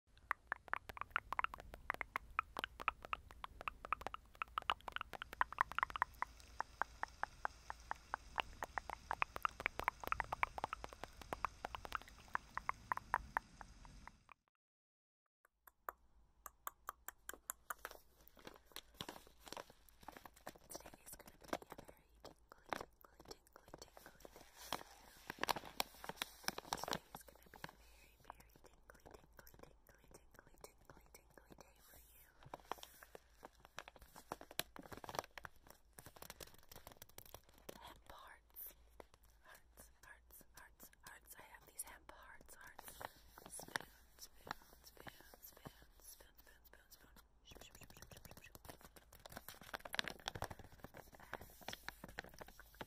Today is going to be a very tingly, tingly, tingly, tingly day. Today is going to be a very, very tingly, tingly, tingly, tingly, tingly, tingly day for you. Hemp hearts, hearts, hearts, hearts, hearts. I have these hemp hearts, hearts. Spoon, spoon, spoon, spoon, spoon, spoon, spoon, spoon. Shoop, shoop, shoop, shoop, shoop, shoop, shoop. And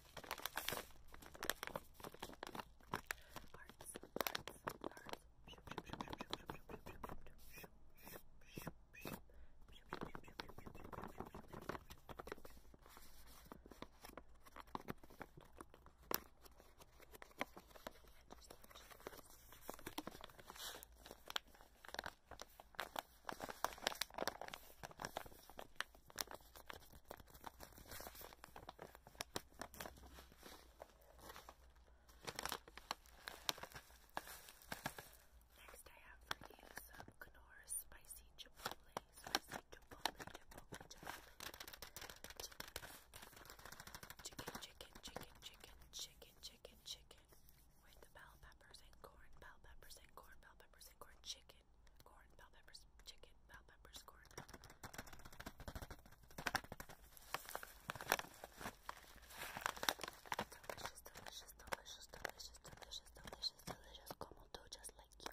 Hearts, hearts, hearts. Hearts, Next, I have some Knorr spicy chipotle, spicy chipotle, chipotle, chipotle, chicken, chicken, chicken, chicken, chicken, chicken, chicken, with bell peppers and corn, bell peppers and corn, bell peppers and corn, chicken chicken, corn, bell peppers, chicken, bell peppers, corn. Delicious, delicious, delicious, delicious, delicious, delicious, delicious, como tú, just like you.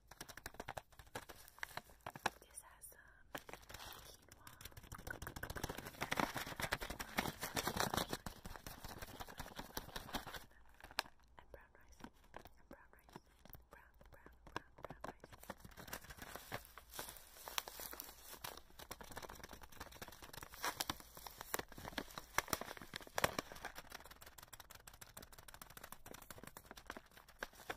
This has um, quinoa. And brown rice. And brown rice. Brown, brown, brown, brown rice.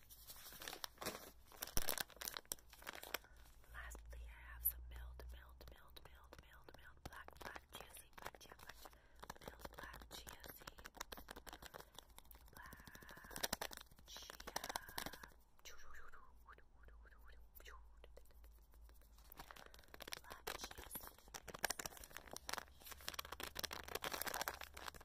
Lastly, I have some milled, milled, milled, milled, milled, milled black, black chia seed, black chia, black chia, milled black chia seed, black chia. Black chia seeds.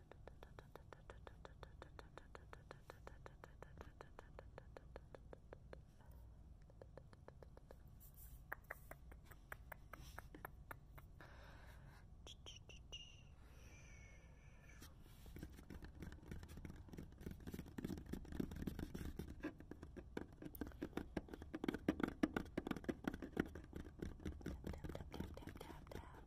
tap tap tap tap tap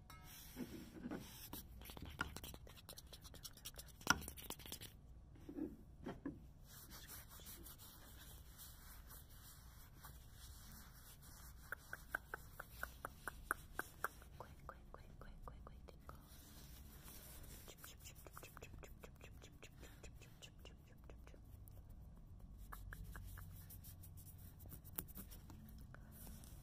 Quick, quick, quick, quick, quick, quick, tinkle.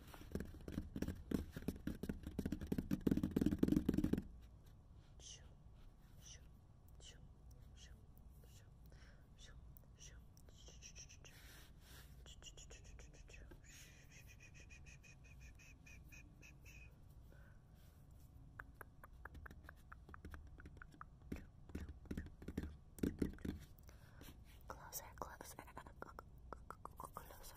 Shoo, shoo, shoo, shoo, shoo, shoo, shoo, Closer, closer, closer.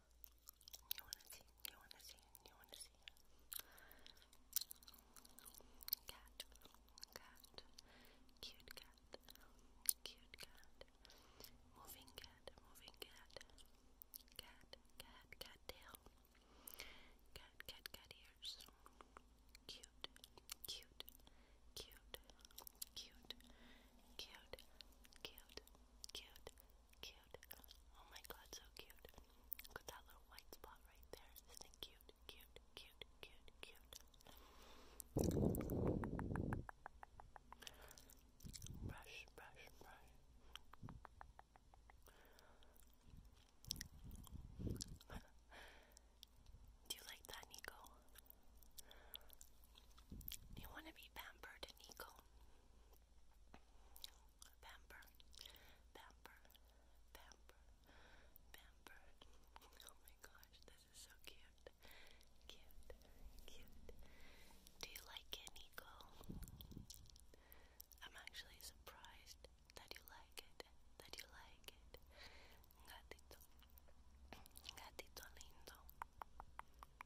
You wanna see? You wanna see? You wanna see? Cat, cat, cute cat, cute cat, moving cat, moving cat, cat, cat, cat tail, cat, cat, cat ears, cute, cute, cute, cute, cute, cute, cute, Cute. Oh my god, so cute. Look at that little white spot right there. Isn't it cute? Cute, cute, cute, cute. Brush, brush, brush. Do you like that, Nico? you want to be pampered, Nico? Pamper, pamper, pamper, pamper. Oh my gosh, this is so cute. Cute, cute. Do you like it, Nico? I'm actually surprised that you like it, that you like it. Gatito, gatito lindo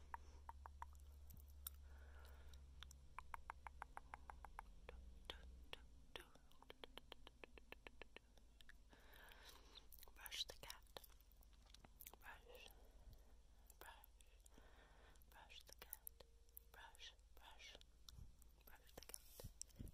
Brush the cat. Brush, brush, brush the cat. Brush, brush, brush the cat.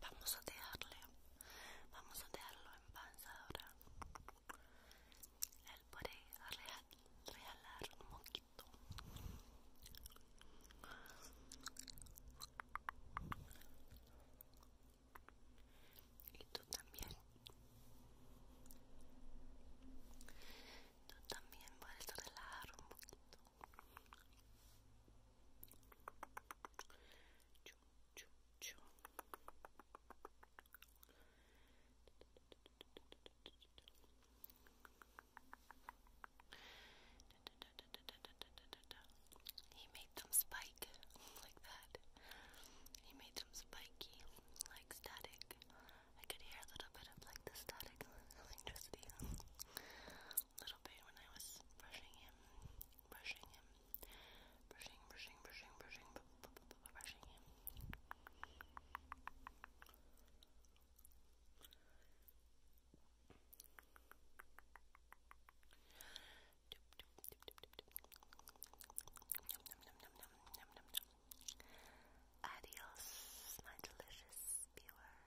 vamos a dejarle vamos a dejarlo en paz ahora él puede real, un poquito y tú también tú también puedes relajar un poquito He made them spike like that. He made them spiky, like static. I could hear a little bit of like the static electricity, a little bit when I was brushing him brushing him, brushing, brushing, brushing, brushing, brushing him. Adios, my delicious viewers.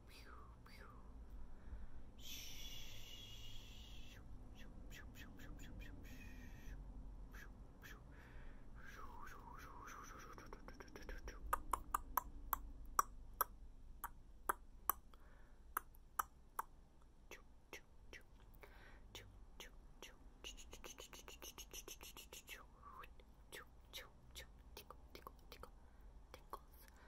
tickle tickle tickle tickles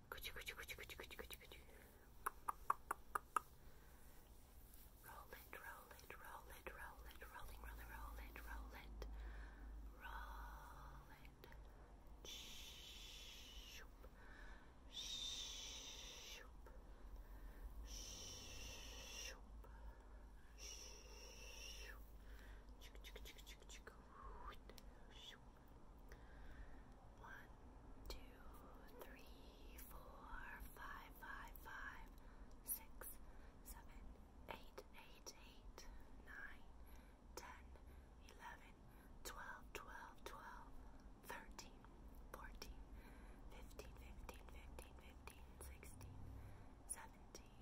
Roll it, roll it, roll it, roll it, rolling, rolling, roll it, roll it, roll it. Shoop, shoop, shoop, shoop. Chick, chick, chick, chick, chick, shoop. One, two, three, four, five, five, five, six, seven, eight, eight, eight, nine, ten, eleven, twelve, twelve, twelve, thirteen, fourteen, fifteen, fifteen, fifteen, fifteen, sixteen, seventeen,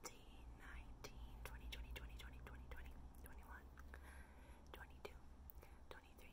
eighteen, nineteen, twenty, twenty, twenty, twenty, twenty, twenty, twenty-one, twenty-two, twenty-three. 23, 24, 25, 26, 27, 28, 29, 30, 31, 32, 33, 34, 35, 36, 37, 38, 39, 40, 41, 42, 43, 44, 45, 46,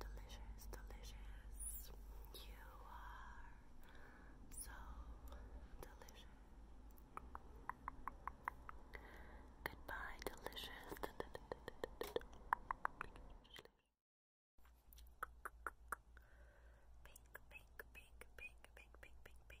Delicious, delicious. You are so delicious. Goodbye, delicious. Pink, pink, pink, pink, pink, pink, pink, pink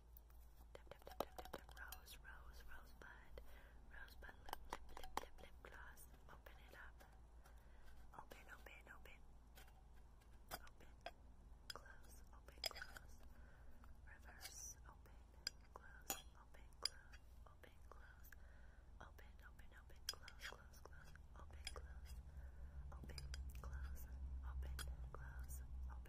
Tap tap tap tap tap tap rose rose rosebud rosebud lip lip lip lip lip gloss. Open it up. Open open open. Open. Close. Open close. Reverse. Open. Close. Open close. Open close. Open open open close close close. Open close. Open close. Open close. Open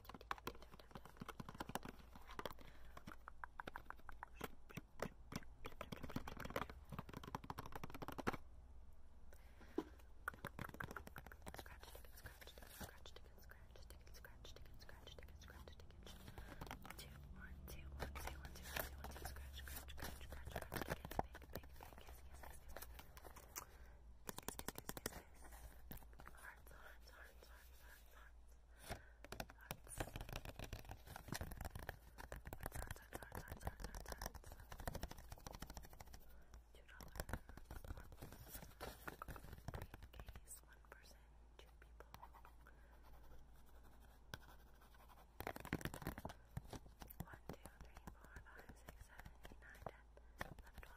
Hearts, hearts, hearts, hearts, hearts, hearts. Case one person, two people. One, two, three, four, five, six, seven, eight, nine, ten, eleven, twelve.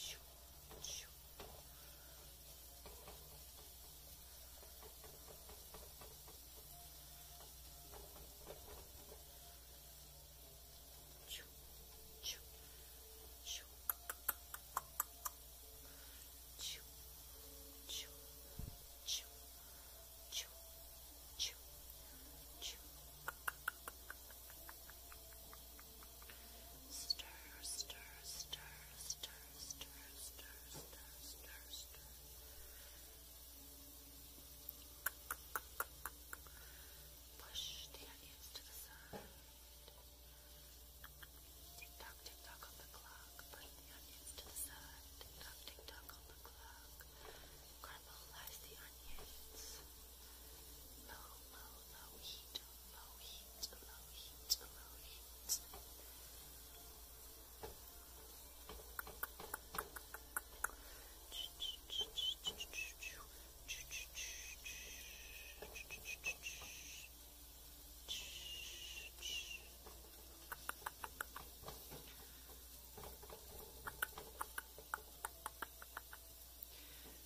чу, чу. Чу, чу, чу. Чу, чу, чу, чу, чу, чу. Stir, stir, stir, stir, stir, stir, stir, stir, stir. Push the onions to the side. Tick tock, tick tock on the clock. Push the onions to the side. Tick tock, tick tock on the clock. Caramelize the onions. Low, low, low heat, low heat, low heat, low heat. Ch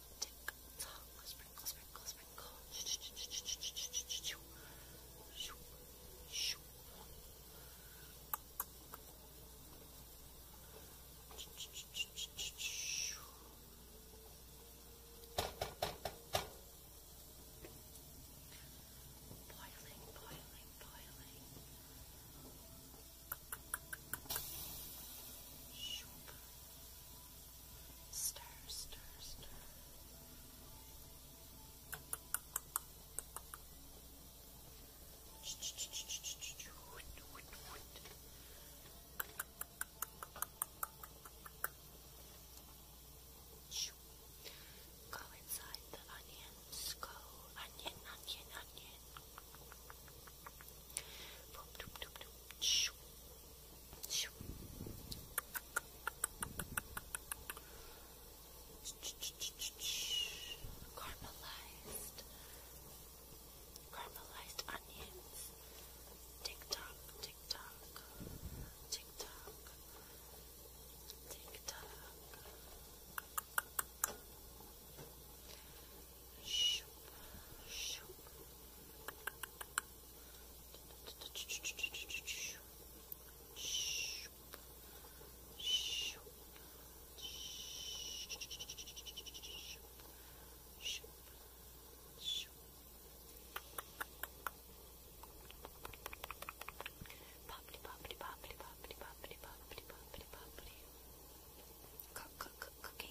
tick tock, sprinkle, sprinkle, sprinkle. Boiling, boiling, boiling. Shoop. Stir, stir, stir. Go inside the onions. Go onion, onion, onion. Caramelized, caramelized onions. Tick tock, tick tock, tick tock, tick tock. Shoop, shoop, Bubbly, bubbly, bubbly, bubbly, bubbly, bubbly, bubbly, bubbly. Cook, cook, cook, cooking.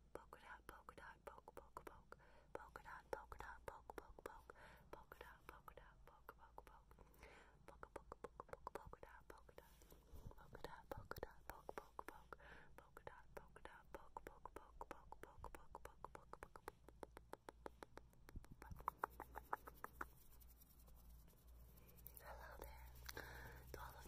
polka dot, polka dot, poke, poke, poke, polka dot, polka dot, poke, poke, poke, polka dot, polka dot, poke, poke, poke, polka, polka, polka, polka, polka dot, polka dot, polka dot, polka dot, poke, poke, poke, polka dot, polka dot, poke, poke, poke, poke, poke, poke, poke, poke, poke. Hello there, to all of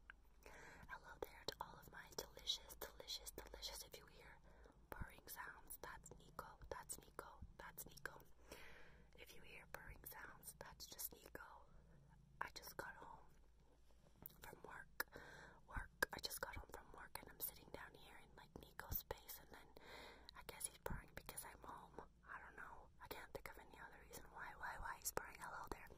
Hello there to all of my delicious, delicious, delicious. If you hear purring sounds, that's Nico. That's Nico. That's Nico. If you hear purring sounds, that's just Nico. I just got home from work. Work. I just got home from work and I'm sitting down here in like Nico's space and then I guess he's purring because I'm home. I don't know. I can't think of any other reason why, why, why he's purring. Hello there.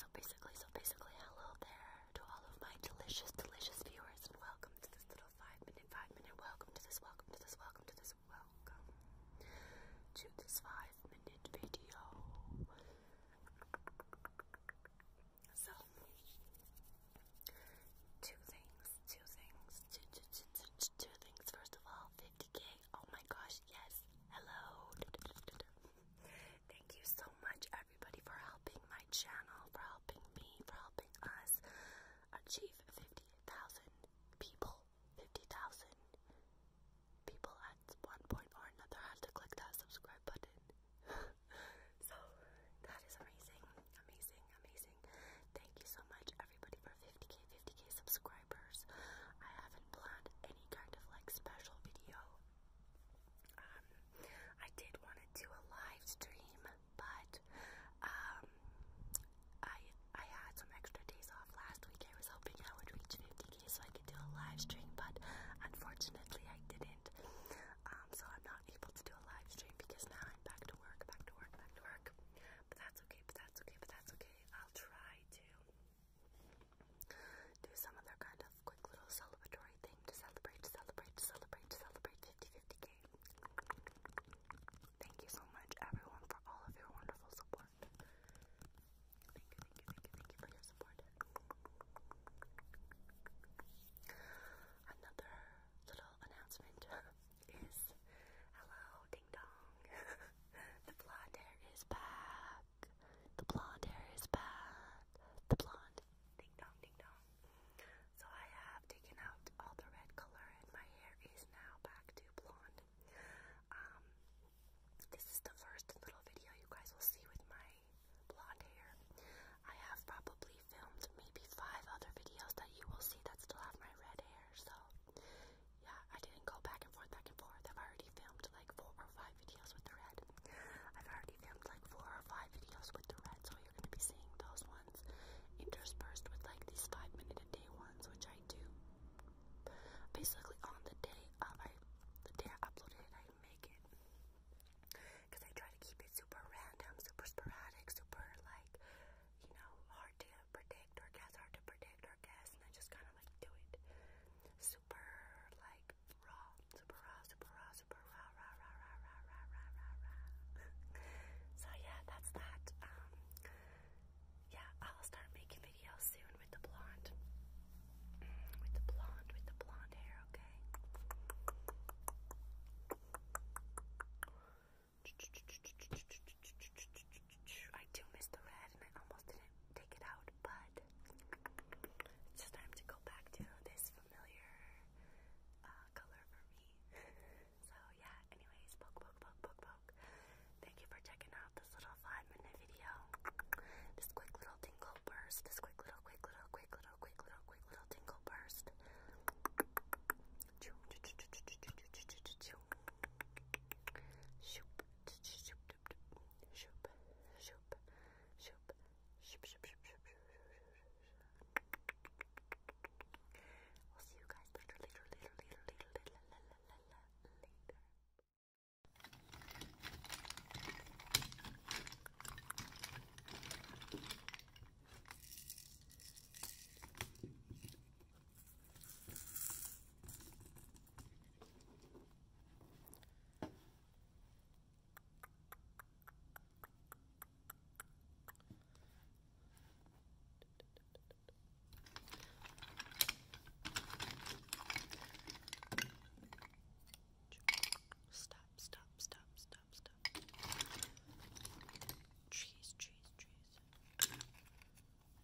so basically, so basically, hello there to all of my delicious, delicious viewers, and welcome to this little five minute, five minute. Welcome to this, welcome to this, welcome to this, welcome to this five minute video. So, two things, two things, Two things. First of all, 50 Oh my gosh, yes. Hello. Thank you so much, everybody, for helping my channel, for helping me, for helping us achieve 50,000 people. 50,000 people at one point or another have to click that subscribe button. so that is amazing, amazing, amazing. Thank you so much, everybody, for 50k, 50k subscribers. I haven't planned any kind of like special video. Um, I did want to do a live stream, but um, I I had some extra days off last week. I was hoping I would reach 50k so I could do a live stream, but unfortunately I didn't. Um, so I'm not able to do a live stream because now I'm back to work, back to work, back to work. But that's okay, but that's okay, but that's okay. I'll try to do some other kind of quick little celebratory thing to celebrate, to celebrate, to celebrate, to celebrate 50 Thank you so much, everyone, for all of your wonderful support. thank you, thank you, thank you for your support. Another little announcement is hello, the blonde hair is back. The blonde hair is back. The blonde. Ding dong, ding dong. So I have taken out all the red color and my hair is now back to blonde. Um, this is the first little video you guys will see with my blonde hair. I have probably filmed maybe five other videos that you will see that still have my red hair. So yeah, I didn't go back and forth, back and forth. I've already filmed like four or five videos with the red. I've already filmed like four or five videos with the red, so you're gonna be seeing those ones interspersed with like these five minute a day ones, which I do basically on the day of uh, I the day I upload it, I make it because I try to keep it super random, super sporadic, super like you know to predict or guess, hard to predict or guess, and I just kind of like do it. Super like raw, super raw, super raw, super raw, raw, raw, raw, raw, raw, raw, so yeah, that's that. Um, yeah, I'll start making videos soon with the blonde, with the blonde, with the blonde hair. Okay. I do miss the red and I almost didn't take it out, but it's just time to go back to this familiar color for me. so yeah, anyways, poke, poke, poke, poke, poke. Thank you for checking out this little five minute video. This quick little tingle burst. This quick little, quick little, quick little, quick little, quick little tingle burst. Shoop. We'll see you guys later, later, later, later, later, later, later. Stop, stop, stop, stop, stop. Trees, trees, trees.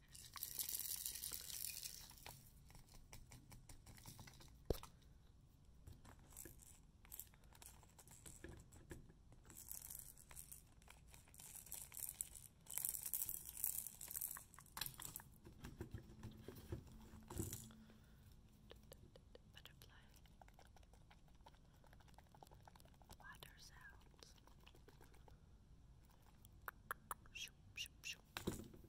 Butterfly water sounds. Shoop, shoop, shoop.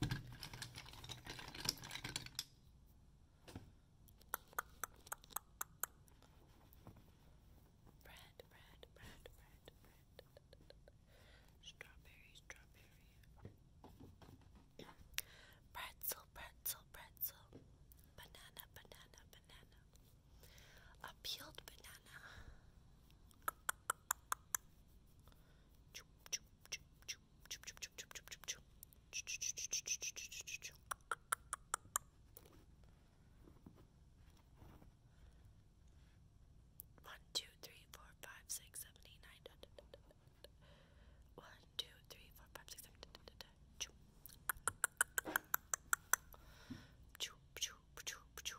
Bread, bread, bread, bread, bread. Strawberry, strawberry. pretzel, pretzel, pretzel. Banana, banana, banana. A peeled banana. One, two, three, four, five, six, seven, eight, nine. Da, da, da, da, da. One, two, three, four, five, six, seven. Da, da, da, da. Choo. Choo, choo, choo, choo,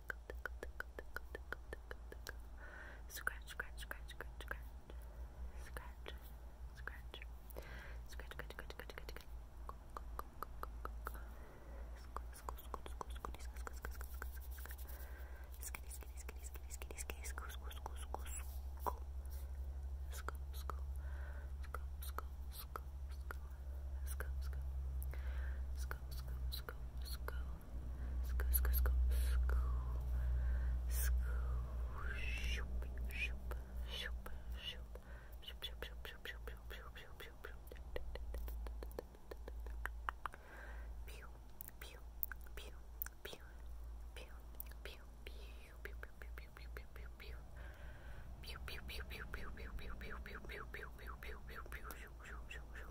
tickle, tickle, tickle, tickle, tickle, tickle, tickle. Scratch, scratch, scratch, scratch, scratch. Scratch, scratch. Scratch, scratch, scratch, scratch, scratch, scratch. Scoop, scoop, scoop, scoop, scoop, Scoop, scoop, scoop, scoop, scoop, shoop, shoop, shoop, shoop, shoop, shoop, shoop, shoop, shoop, shoop, shoop, shoop, pew, pew, pew, pew, pew, pew, pew, pew, pew, pew, pew, pew,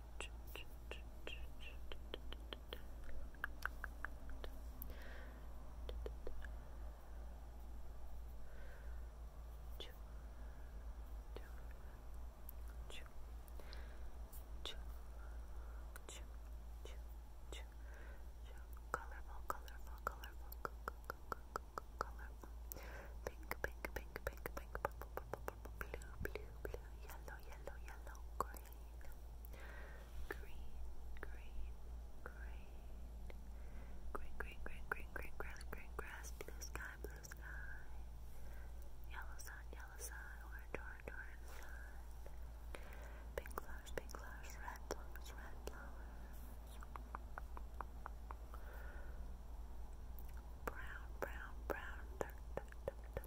colorful, colorful, colorful, colorful, pink, pink, pink, pink, pink, blue, blue, blue, yellow, yellow, yellow, green, green, green, green, green, green, green, green, green grass, green grass, blue sky, blue sky, yellow sun, yellow sun, orange, orange, orange sun, pink flowers, pink flowers, red flowers, red flowers. Brown, brown, brown, dirt, dirt, dirt,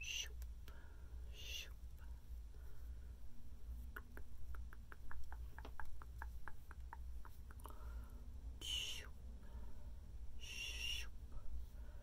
シュッシュッ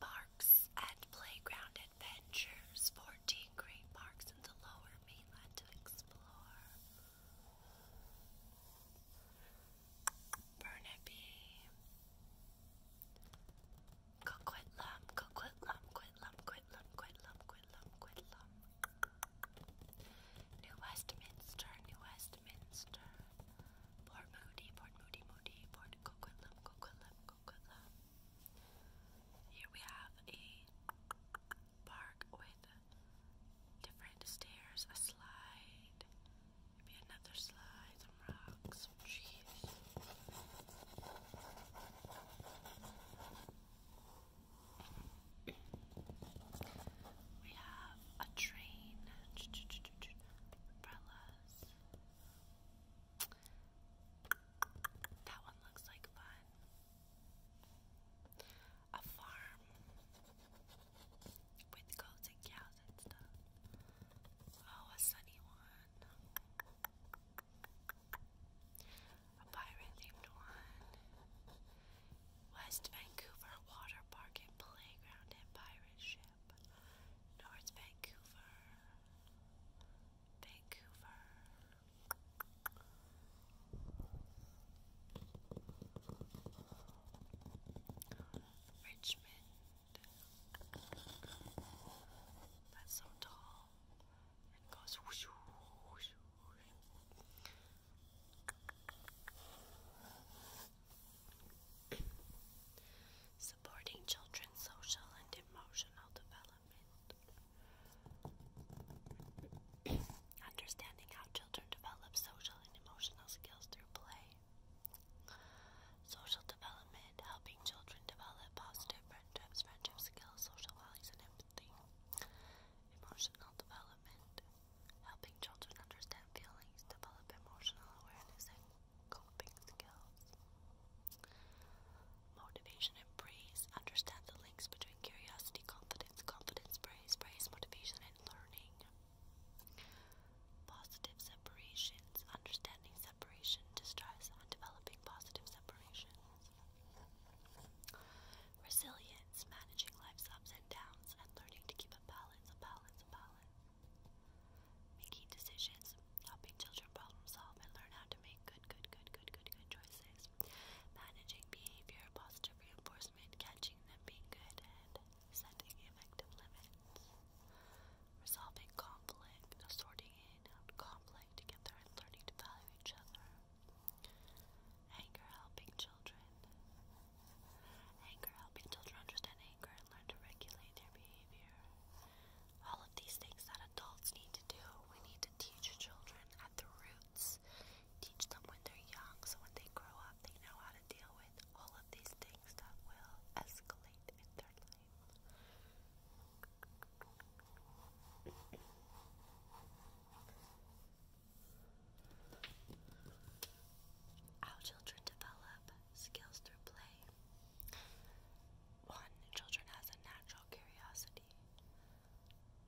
Parks and playground adventures. 14 great parks in the lower mainland to explore. Burnaby. Coquitlam, Coquitlam, Quitlam, Quitlam, Quitlam, Quitlam, Quitlam. New Westminster, New Westminster. Port Moody, Port Moody, Moody, Port Coquitlam, Coquitlam, Kolkata. Here we have a park with different stairs, a slide, maybe another slide, some rocks, some trees. We have a train, umbrellas, that one looks like fun. A farm with goats and cows and stuff. Oh, a sunny one. A pirate themed one. West Vancouver Water Park and Playground and Pirate Ship. North Vancouver Vancouver. Richmond. That's so tall. It goes supporting children's social and emotional development. Understanding how children develop social and emotional skills through play. Social development, helping children develop positive friendships, friendship skills, social values, and empathy. Emotional development, helping children understand feelings, develop emotional awareness, and coping skills. Motivation and praise. Understand the links between curiosity, confidence, confidence, praise, praise, motivation, and learning. Positive separations. Understanding separation, distress, and developing positive separations. Resilience. Managing life's ups and downs and learning to keep a balance, a balance, a balance. Making decisions, helping children problem solve and learn how to make good, good, good, good, good, good choices. Managing behavior, positive reinforcement, catching them being good, and setting effective limits. Resolving conflict, sorting in out conflict together and learning to value each other. Anger helping children. Anger helping children understand and learn to regulate their behavior. All of these things that adults need to do, we need to teach children at the roots. Teach them when they're young so when they grow up they know how to deal with all of these things that will escalate in their life. How children develop skills through play. One, children has a natural curiosity.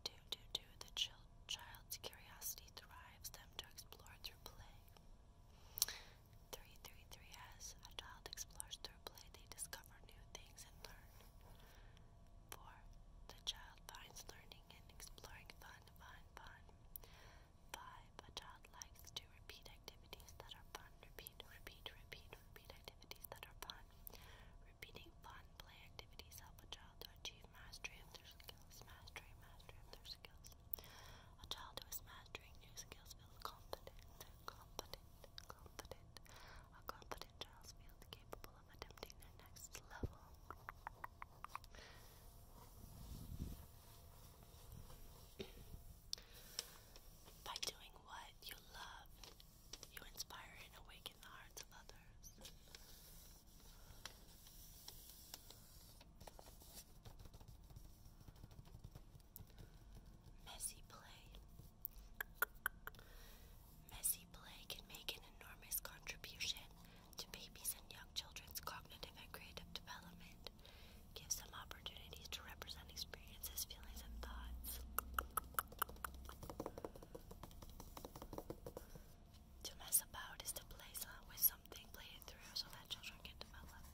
Two, two, two, the child's curiosity drives them to explore through play. Three, three, three, as a child explores through play, they discover new things and learn. Four, the child finds learning and exploring fun, fun, fun. Five, a child likes to repeat activities that are fun, repeat repeat, repeat, repeat, activities that are fun. Repeating fun play activities help a child to achieve mastery of their skills. Mastery, mastery of their skills. A child who is mastering new skills feels confident, confident, confident. A confident child feels capable of attempting their next level. By doing what you love, you inspire and awaken the hearts of others. Messy play. Messy play can make an enormous contribution to babies and young children's cognitive and creative development. Gives them opportunities to represent experiences, feelings, and thoughts. To mess about is to play with something, play it through so that children can develop.